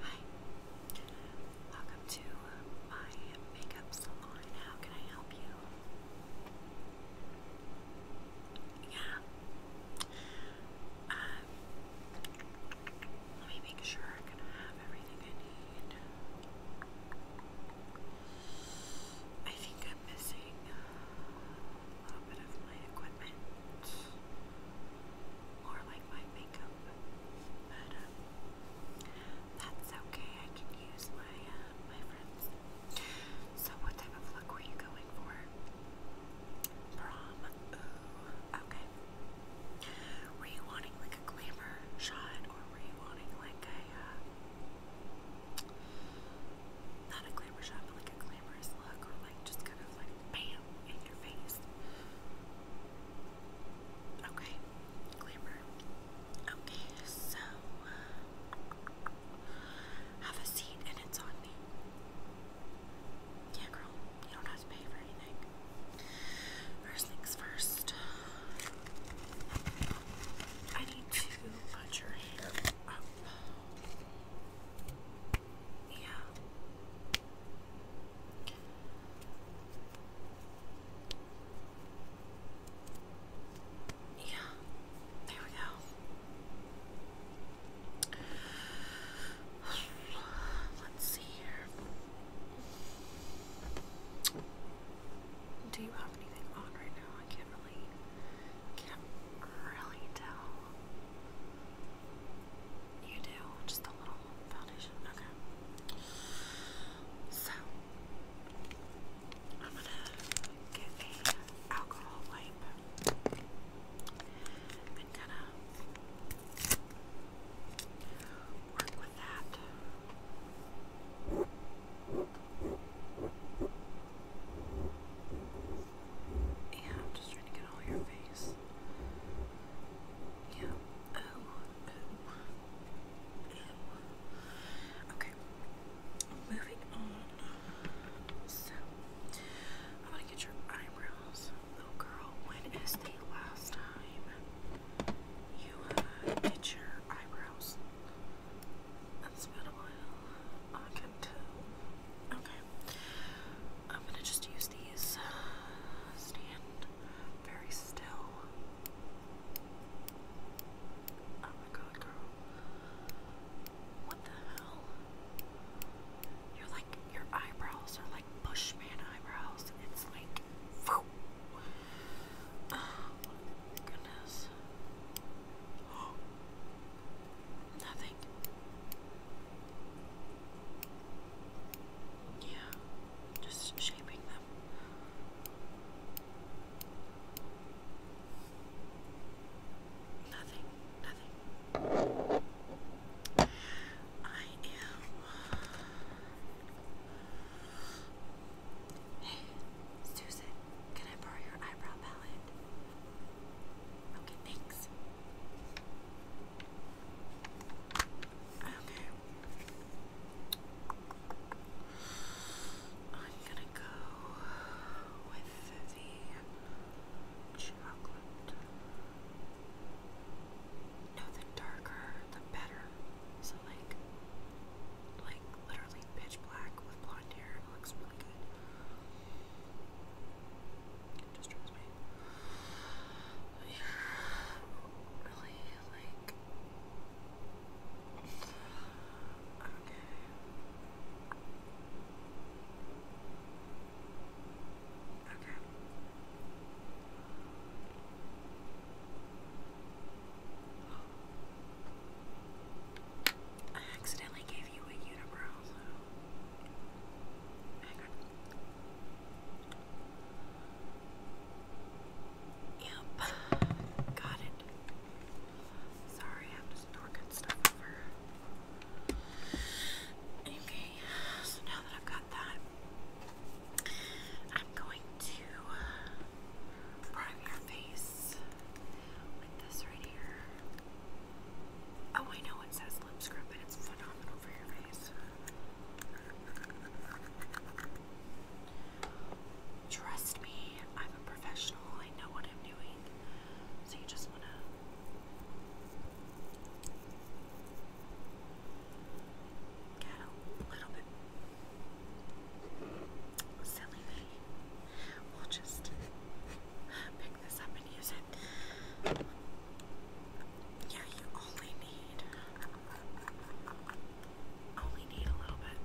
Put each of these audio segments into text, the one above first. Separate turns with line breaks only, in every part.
Hi, welcome to uh, my makeup salon. How can I help you? Yeah. Um, let me make sure I can have everything I need. I think I'm missing uh, a bit of my equipment, more like my makeup, but um, that's okay. I can use my uh, my friends. So, what type of look were you going for? Prom. Okay. Were you wanting like a glamour shot, or were you wanting like a uh, not a glamour shot, but like a glamorous look, or like just kind of like bam in your face. Okay, glamour. Okay, so uh, have a seat and it's on me. Yeah, girl, you don't have to pay for anything. First things first, I need to put your hair up. Yeah. Yeah, there we go. Let's see here. Do you have anything on right now? I can't really can't really tell. You do, just a little foundation. Okay. So, I'm gonna get a alcohol wipe and kinda work with that. Yeah, I'm just trying to get all your face. Yeah. Oh. Okay. Moving on. So, I want to get your eyebrows. Little girl, when is the last time you uh, your eyebrows? It's been a while. I can tell. Okay. I'm gonna just use these. Stand very still. Oh my god, girl. What the hell? You're like, your eyebrows are like Bushman eyebrows. It's like, oh my goodness. Oh, Nothing. Yeah, just shaping them. Nothing, nothing. I am. Hey, Susan, can I borrow your eyebrow palette? Okay, thanks. Okay. I'm gonna go with the chocolate. No, the darker, the better. So like, like literally pitch black with blonde hair. It looks really good. It distracts me. yeah, really, like. Okay. Okay. I accidentally gave you a unibrow, Yep, got it. Sorry, I'm just knocking stuff over. Okay, so now that I've got that, I'm going to prime your face with this right here. Oh, I know it says lip scrub, but it's phenomenal for your face. Trust me, I'm a professional. I know what I'm doing. So you just want to. Get a little bit silly me. We'll just yeah, you only need only need a little bit.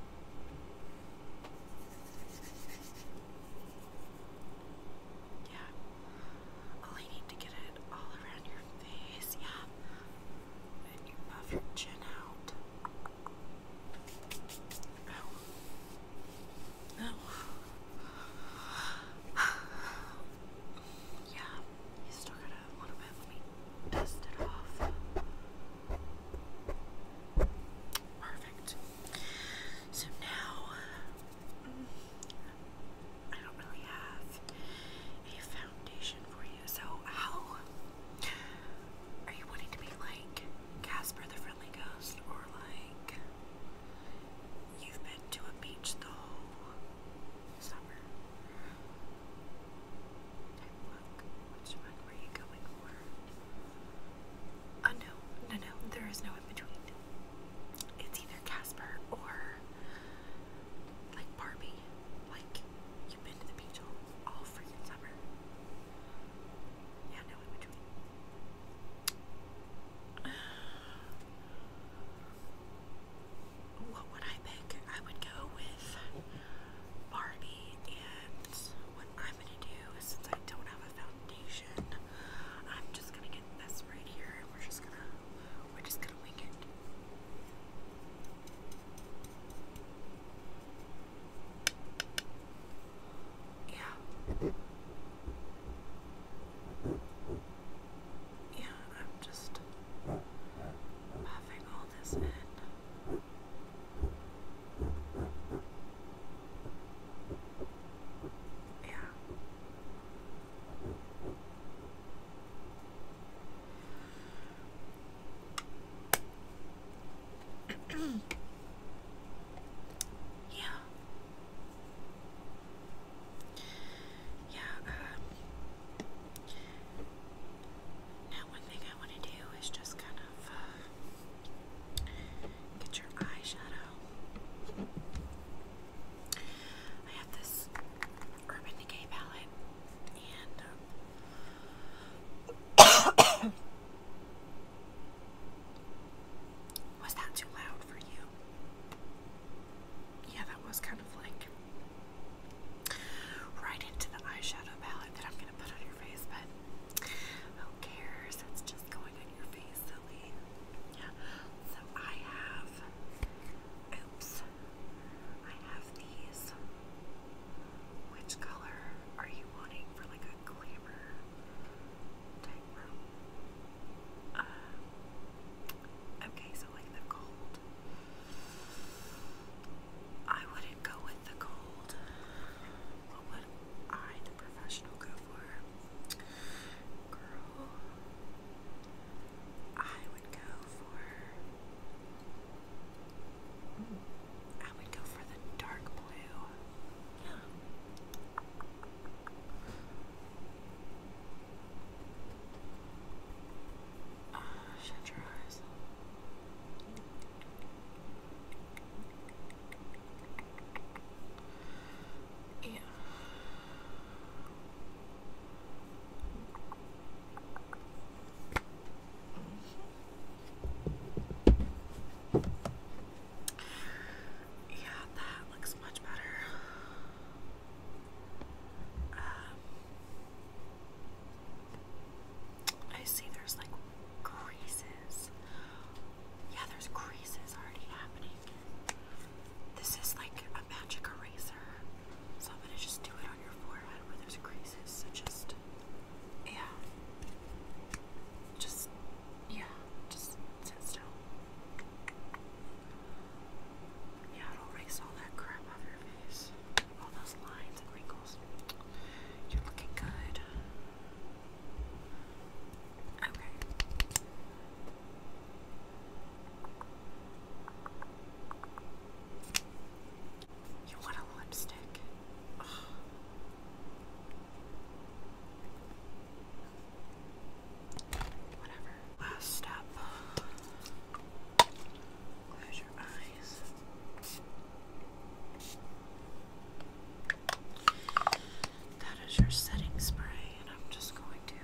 Yeah. Only need to get it all around your face, yeah. And you puff your chin out. Oh. Yeah, you still a little bit. Let me dust it off. Perfect. So now, mm, I don't really have a foundation for you. So, how are you wanting to be like Casper the Friendly Ghost or like? you've been to a beach the whole summer. look. Which one were you going for? Oh no, no, no, there is no in between. It's either Casper or like Barbie. Like, you've been to the beach all, all freaking summer. What would I pick? I would go with Barbie, and what I'm gonna do is since I don't have a foundation, I'm just gonna get this right here, and we're just gonna we're just gonna wing it. Yeah. Yeah, I'm just having all this in. Yeah. yeah yeah, um, now thing I want to do is just kind of get your eyeshadow. I have this Urban Decay palette, was that too loud for you? Yeah, that was kind of like right into the eyeshadow palette that I'm gonna put on your face, but who cares? It's just going on your face, silly. Yeah. So I have oops. I have these. Which color are you wanting for like a glamour uh, okay, so like the gold. I wouldn't go with the gold. What would I, the professional, go for? Girl, I would go for. I would go for the dark blue shut your eyes. Yeah. Yeah, that looks much better. Um, I see there's like creases. Yeah, there's creases already happening. This is like a magic eraser. So I'm gonna just do it on your forehead where there's creases. So just, yeah. Just, yeah. Just sit still. Yeah, it'll erase all that crap off your face. All those lines and wrinkles. You're looking good. Okay. You want a lipstick? Whatever. Last step. Close your eyes. That is your setting spray, and I'm just going to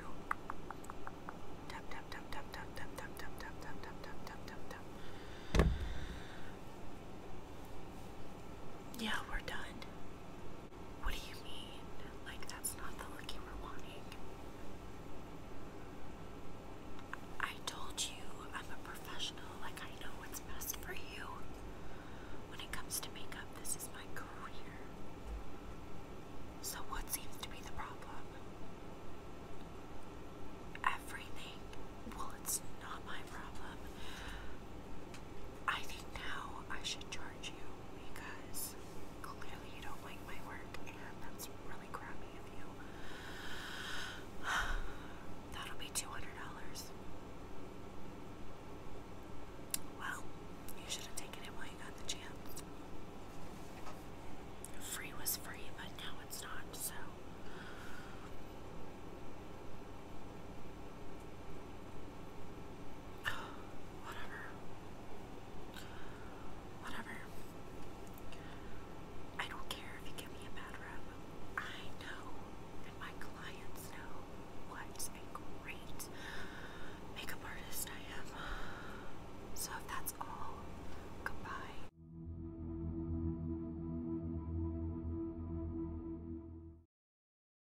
tap tap tap tap tap tap tap tap tap tap tap tap tap tap Yeah, we're done. What do you mean? Like, that's not the look you were wanting. I told you I'm a professional, like, I know what's best for you. When it comes to makeup, this is my career. So, what seems to be the problem? Everything. Well, it's not my problem. I think now I should charge you because clearly you don't like my work, and that's really crappy of you. That'll be $200. Well, you should have taken it while you got the chance. Free was free, but now it's not, so. Whatever. Whatever. I don't care if you give me a bad rep. I know, and my clients know, what a great makeup artist I am. So that's all, goodbye.